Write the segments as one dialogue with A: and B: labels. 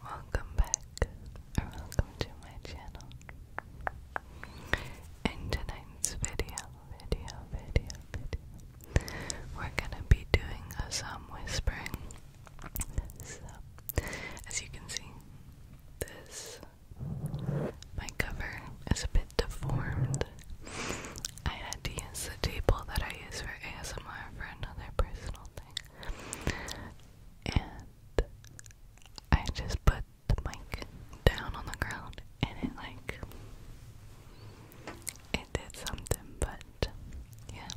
A: Welcome back, or welcome to my channel. In tonight's video, video, video, video, we're gonna be doing uh, some whispering. as you can see, this my cover is a bit deformed. I had to use the table that I use for ASMR for another personal thing and I just put the mic down on the ground and it like it did something but yeah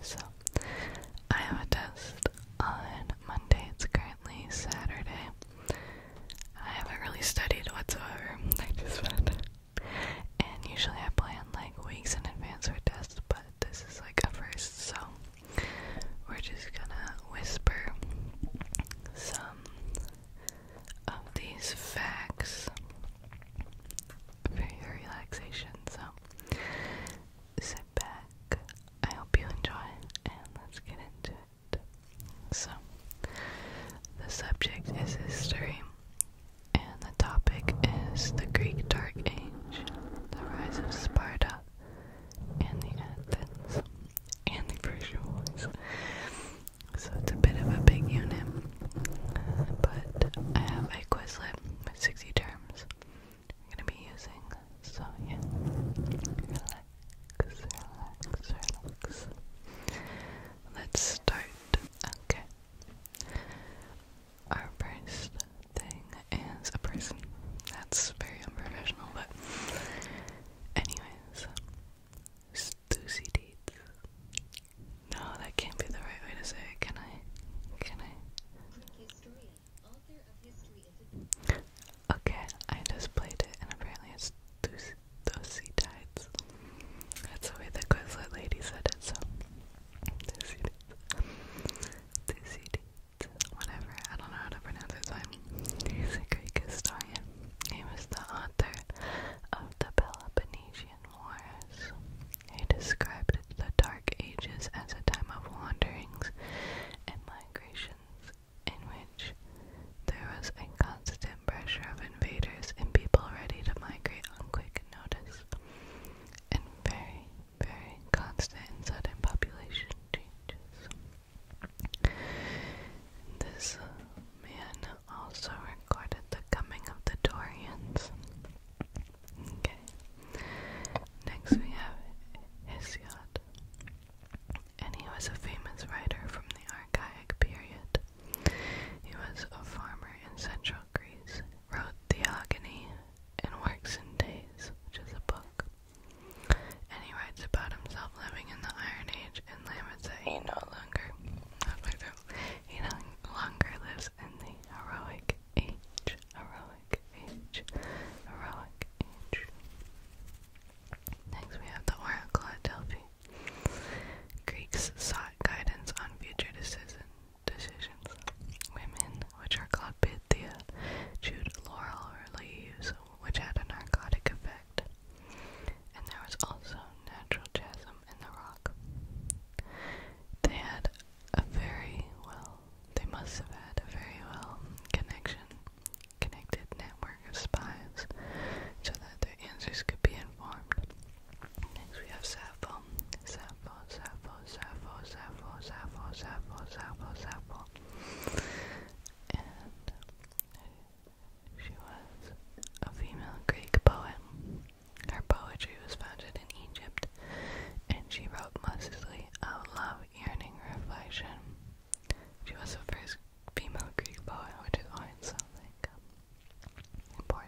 A: so I have a test on Monday it's currently Saturday I haven't really studied whatsoever I just found and usually I plan like weeks in advance for tests, but this is like a first, so we're just gonna whisper some of these facts for your relaxation. So sit back. I hope you enjoy, and let's get into it. So, the subject is history, and the topic is the Greek Dark Age, the rise of Sparta, and the Athens, and the Persian Wars. So it's a bit of a big unit, but I have my Quizlet with 60 terms I'm going to be using, so yeah, relax, relax, relax. Let's start. Okay our first thing is a person. That's very unprofessional, but anyways, Stussy No, that can't be the right way to say it. Can I? Can I? Okay, I just played it, and apparently it's Stussy Tides. That's the way the Quizlet lady said it, so this it is. Whatever, I don't know how to pronounce it, so He was the author of the Peloponnesian Wars. He described the Dark Ages as a time of wanderings and migrations in which there was a constant pressure of invaders and people ready to migrate on quick notice and very, very constant and sudden population changes. This man also recorded the coming of the Dorians. Okay. Next we have Hesiod. And he was a famous writer from the archaic period. He was a farmer in central Greece wrote Theogony and Works and Days, which is a book. And he writes about himself living in the Iron Age and laments that he no longer he no longer lives in the heroic age. Heroic age. Heroic age. Next we have the Oracle at Delphi. Greeks sought guidance on future decisions decisions. Women, which are called Pythia, chewed laurel leaves, which had a narcotic effect. And there was also natural chasm in the rock. They had a very well, they must have had a very well connection, connected network of spies so that their answers could be informed. Next we have Sappho, Sappho, Sappho, Sappho, Sappho, Sappho, Sappho, Sappho, Sappho. And she was a female Greek poet. Her poetry was founded in Egypt, and she wrote mostly of love, yearning, reflection. She was the first female Greek poet, which is something important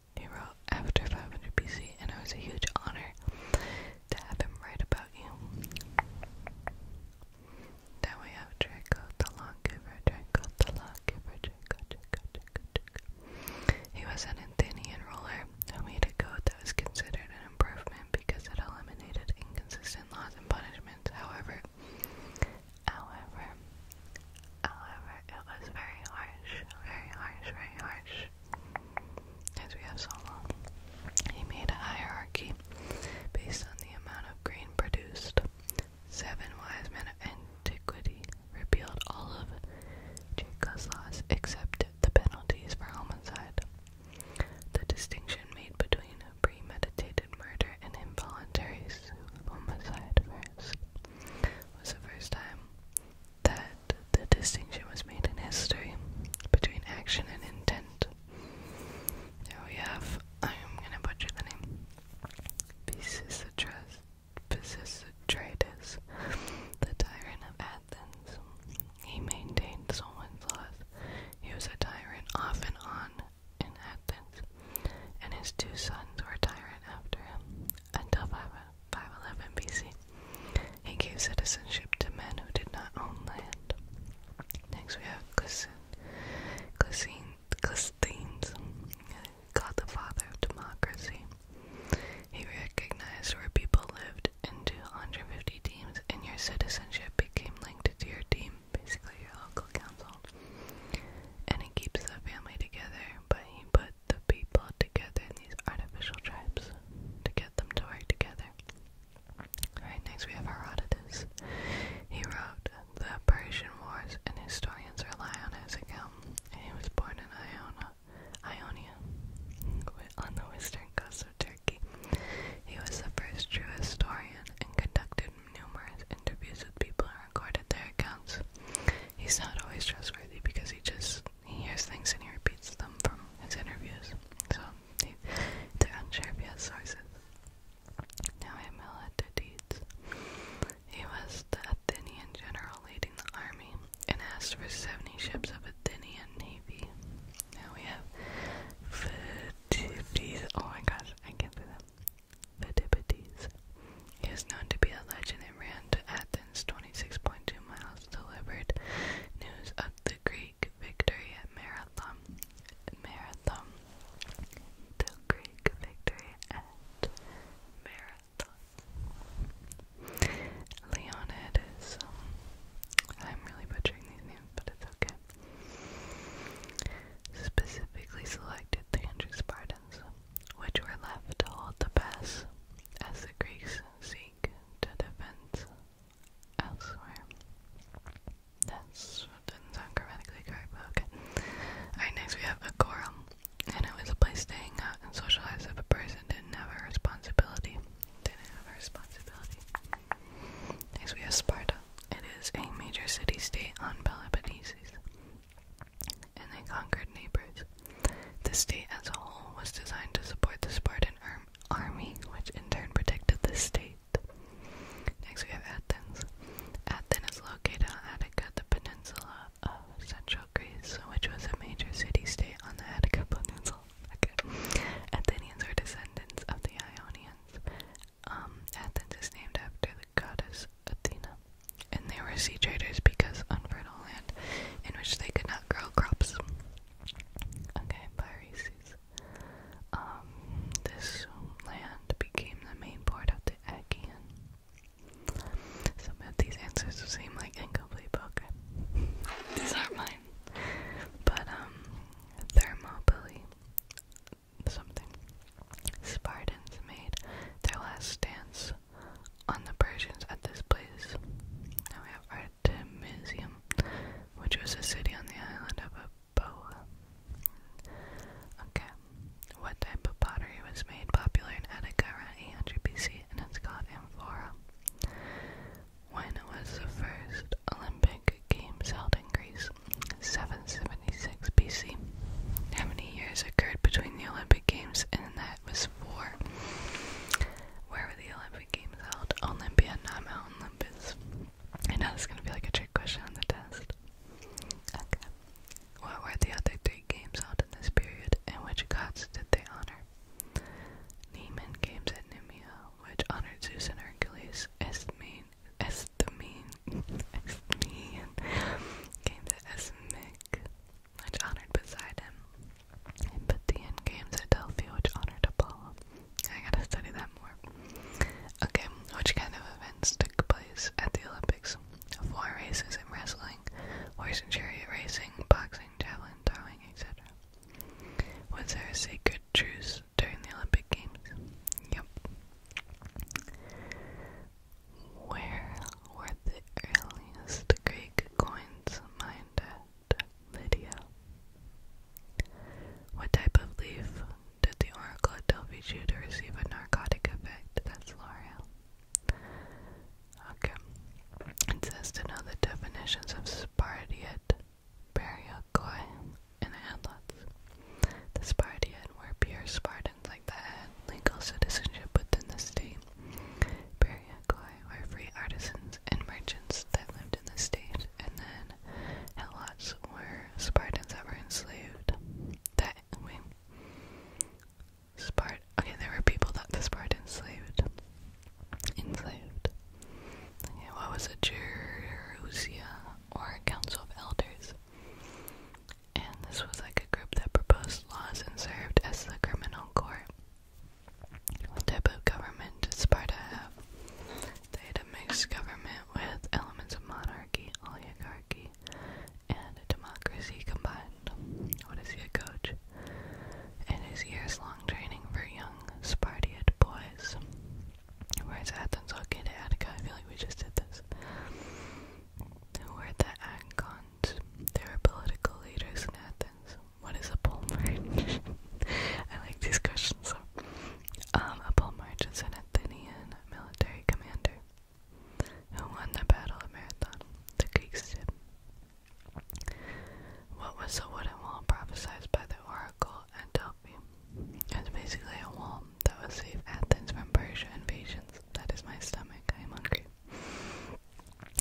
A: he wrote after 500 BC, and it was a huge honor to have him write about you. Now we have Draco the Lawgiver, Draco the Lawgiver, Draco, He was an Athenian ruler who made a code that was considered an improvement because it eliminated inconsistent laws and punishments. However, however, however, it was very harsh, very harsh, very harsh. As we have so he made a hierarchy based on the amount of grain produced. Seven wise men of antiquity repealed all of Jacob's laws except the penalties for homicide. The distinction made between premeditated murder and involuntary homicide was the first time that the distinction was made in history between action and intent. we have, I am going to butcher the name, Pisistratus, the tyrant of Athens. He maintained Solon's laws. He was a tyrant off and on in Athens, and his two sons were tyrant after him until 511 BC. He gave citizenship to men who did not own land. Next we have Clisthenes, God the father of democracy. He recognized where people lived into 150 teams, and your citizenship became linked to your team, basically your local council. And it keeps the family together, but he put the people together in these artificial tribes to get them to work together. Alright, next we have Herodotus. He wrote the Persian Wars, and historians rely on his account. he was born in Iona, Ionia, on the western coast of Turkey. He was the first true historian and conducted numerous interviews with people and recorded their accounts. He's not always trustworthy because he just he hears things and he repeats them from his interviews. So he, they're unsure if he has sources. Now Amilatides. He was the Athenian general leading the army and asked for seventy ships of Athenian navy. Now we have Pheidippides. Oh my gosh, I can't do that. Pheidippides. He is known to be a legend and ran to Athens 26.2 miles, delivered news of the Greek victory at Marathon. Marathon. The Greek victory at Marathon. Leonidas. Um, I'm really butchering these names, but it's okay. Specifically selected 300 Spartans, which were left to hold the pass as the Greeks seek to defend elsewhere. That's what not sound grammatically correct, but okay. Alright, next we have a quorum, and it was a place to out and socialize if a person didn't have a responsibility. Didn't have a responsibility. Next we have Sparta. It is a major city-state on Peloponnese, and they conquered neighbors. The state as a whole was designed to support the Spartan army, which in turn protected the state. Next we have Athens. Athens is located on Attica, the peninsula of central Greece, which was a major city-state on the Attica peninsula. Athenians are descendants of the Ionians. Um, Athens is named after the goddess Athena. And they were sea traders because unfertile land in which they could not grow crops. Okay, Piraeus. Um, this land became the main part of the Achaean. Some of these answers seem like incomplete, but these aren't mine. But, um, Thermopylae, something. Spartans made their last stance on the Persians at this place. Now we have Artemisium, which was a city on the island of Aboa. Okay, what type of pottery was made popular in Attica around 800 BC and it's called amphora? When was the first Olympic Games held in Greece? 776 BC. How many years occurred between the Olympic Games and that was four? Where were the Olympic Olympic Games held. Olympia, not Mount Olympus. I know this is gonna be like a trick question on the test. Okay. What were the other three games held in this period, and which gods did they honor? Nemean games at Nemea, which honored Zeus and Hercules. Isthmian, Isthmian, Isthmian games at Isthmic, which honored Poseidon, and Pythian games at which honored Apollo. I gotta study that more. Okay, which kind of events took place at the Olympics? Four races in wrestling, horse and chariot racing, boxing, javelin, throwing, etc. Was there a sacred truce during the Olympic Games? Yep. Where were the earliest Greek coins mined what type of leaf did the oracle at Delphi to receive a narcotic effect? That's L'Oreal. Okay. It says to know the definitions of Spartiate, Baryokoi, and Atlas. The Spartiate were pure Spartans like that had legal citizenship within the state. Bariakoi were free artisans and merchants that lived in the state, and then Helots were Spartans that were enslaved. That wait, Spart. Okay, there were people that the Spartans enslaved. Enslaved. what was a Gerousia or council of elders? And this was like a group that proposed laws and served as the criminal court. What type of government did Sparta have? They had a mixed government with elements of monarchy, oligarchy, and democracy combined. What is he a coach? In his years long training for young Spartiate boys. Where is Athens located? Attica, I feel like we just did this. Who were the Agons? They were political leaders in Athens what is a pole I like these questions. So, um, a pole march is an Athenian military commander who won the Battle of Marathon. The Greeks did. What was the wooden wall prophesied by the oracle at Delphi? It basically a wall that would save Athens from Persian invasions. That is my stomach. I am hungry.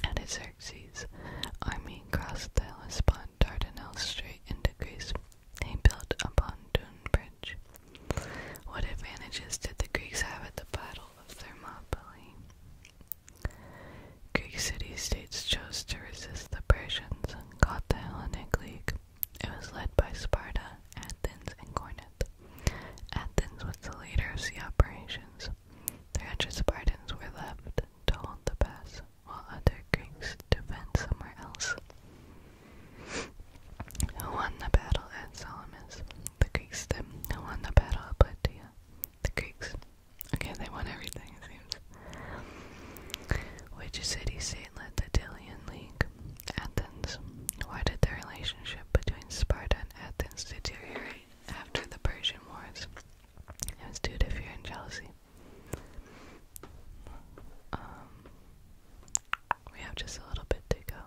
A: And Xerxes' army crossed the Hellespont Dardanelles Strait into Greece. They built a pontoon bridge. What advantages did the Greeks have at the Battle of Thermopylae? Greek city-states chose to resist the Persians and caught the Hellenic League. It was led by Sparta, Athens, and Corinth. Athens was the leader of the operations. 300 Spartans were left to hold the pass, while other Greeks defend somewhere else. Who won the battle at Salamis? The Greeks did. Who won the battle at Plataea? The Greeks. Okay, they won everything, it seems. Which city state led the Delian League? Athens. Why did the relationship between Sparta and Athens deteriorate after the Persian Wars? It was do it if you're in jealousy. Um, we have just a little bit to go.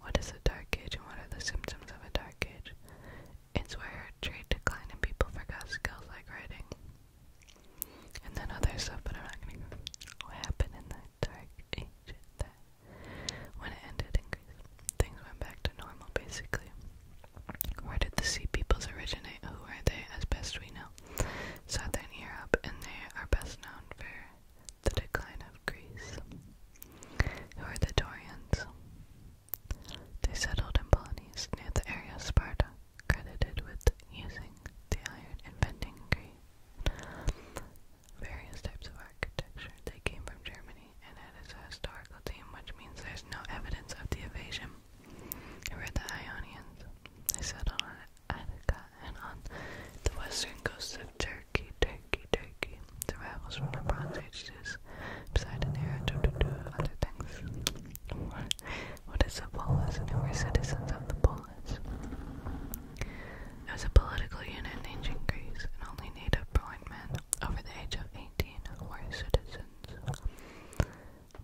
A: What is a dark age and what are the symptoms of a dark age? It's where trade declined and people forgot skills like writing. And then other stuff, but I'm not gonna go. What happened in the dark age that when it ended things went back to normal basically. Where did the sea peoples originate? Who are they as best we know? Southern Europe, and they are best known for the decline of Greece. Who are the Dorians? They settled in Peloponnese near the area of Sparta, credited with using the iron, inventing Greek. Various types of architecture. They came from Germany and it is a historical team, which means there's no evidence of the invasion. I read the Ionians. They settled on Attica and on the western coast of Turkey, Turkey, Turkey. Survivals from the Bronze Age beside an era to other things. what is the polis? And who citizens of the polis? It a political unit ancient Greece, and only native-born men over the age of 18 2019 where citizens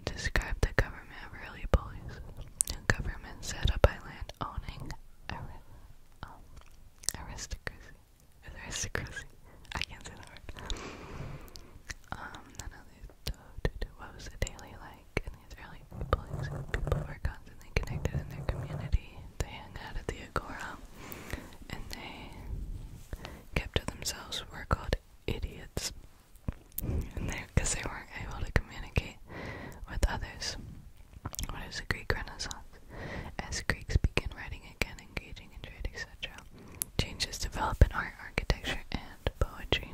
A: described the government really bullies. The government set up by land owning um, aristocracy. Aristocracy. I can't say the word. Um, none of these, what was the daily like in these early bullies? People were constantly connected in their community. They hung out at the Agora, and they kept to themselves were called idiots because they, they weren't able to communicate with others. What is the Greek Renaissance? As Greeks begin writing again, engaging in trade, etc., changes develop in art, architecture, and poetry.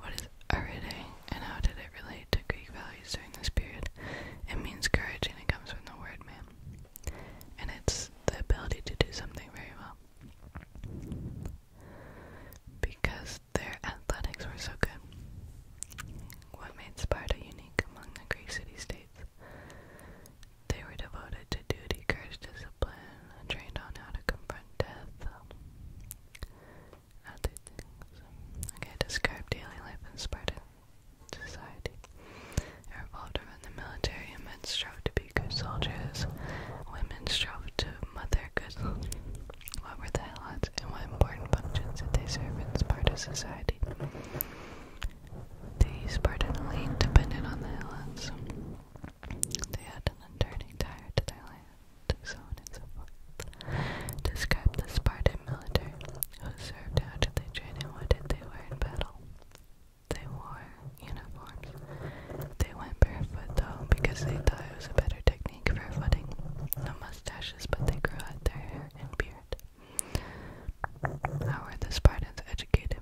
A: What is arete, and how did it relate to Greek values during this period? It means courage, and it comes from the word man and it's the ability to do something very well. Because their athletics were so good. What made Sparta unique among the Greek city states? They were devoted to duty, courage, discipline, trained on how to confront death. Other things. Okay, describe daily life in Sparta society. It revolved around the military, and men strove to be good soldiers. Women strove to mother good What were the helots, and what important functions did they serve as part society? The Spartan elite depended on the helots. They had an enduring tie to their land, so and so forth. Describe the Spartan military. Who served, how did they train, and what did they wear in battle? They wore uniforms. They went barefoot though because they thought it was a better technique for footing. No mustaches, but they grew out their hair and beard. How were the Spartans educated?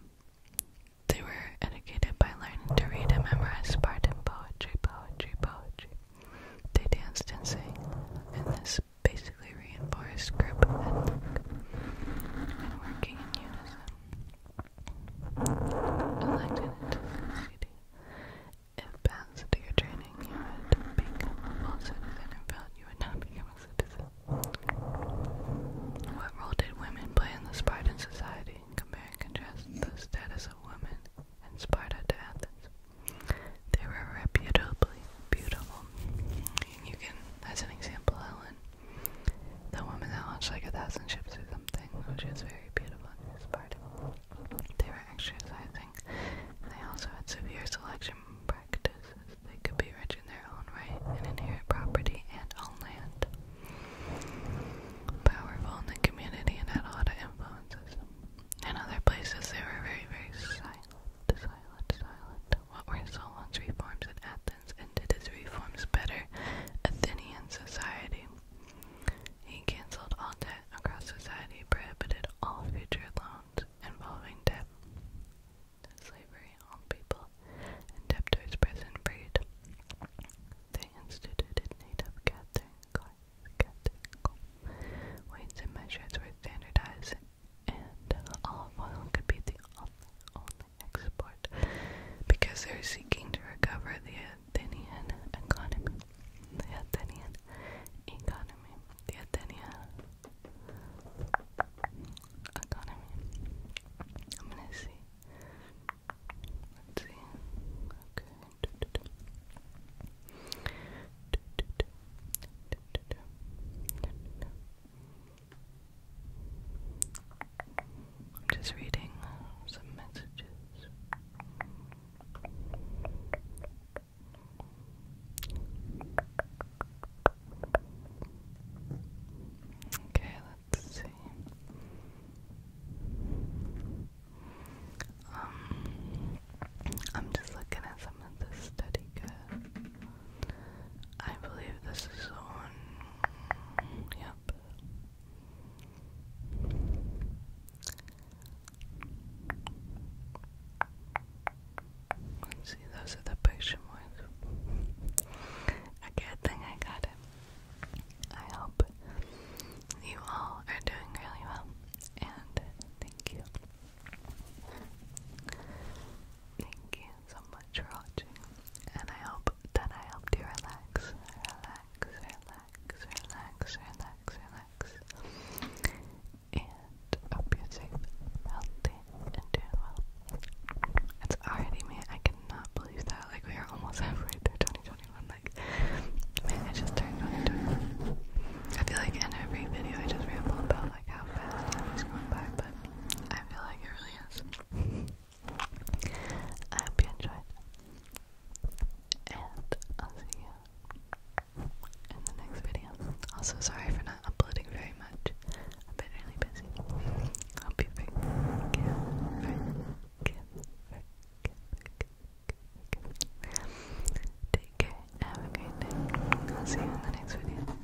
A: They were educated by learning to read and memorize Spartan poetry, poetry, poetry. They danced and sang, and this basically reinforced grip and working in unison. Elected into the city. If bound to your training, you would become a full citizen and proud you would not become a citizen. What role did women play in the Spartan society? Compare contrast the status of women in Sparta to Athens. They were reputably beautiful, you can, as an example, Helen, the woman that launched like a thousand ships or something, which is very beautiful and inspiring. They were exercising. They also had severe selection practices. They could be rich in their own right and inherit property and own land. Powerful in the community and had a lot of influences. In other places, they were very, very silent. So silent, silent. What were Solon's reforms in Athens, and did his reforms better Athenian society? He cancelled all debt across society, prohibited all future loans involving debt, slavery on people, and debtors' prison breed. They instituted native gathering, gathering, gathering. Weights and measures were standardized and olive oil could be the only, export because they're seeking to recover the Athenian economy. The Athenian economy. The Athenian economy. I'm gonna see. Let's see. Okay. I'm just reading some messages. Okay, let's see. Um, I'm just looking at the study guide. I believe this is on. Yep. see, those are the picture marks. Okay, I think I got it. I hope you all are doing really well, and thank you. Thank you you so much for watching, and I hope that I helped you relax, relax, relax, relax, relax, relax, and hope you're safe, healthy, and doing well. It's already me. I cannot believe that. Like we are almost halfway through 2021. Like, man, I just turned 2021. I feel like in every video I just ramble about like how fast time is going by, but I feel like it really is. I hope you enjoyed. And I'll see you in the next video. Also, sorry for not uploading very much. I've been really busy. Hope you forgive, forgive, forgive, Have a great day. I'll see you in the next video.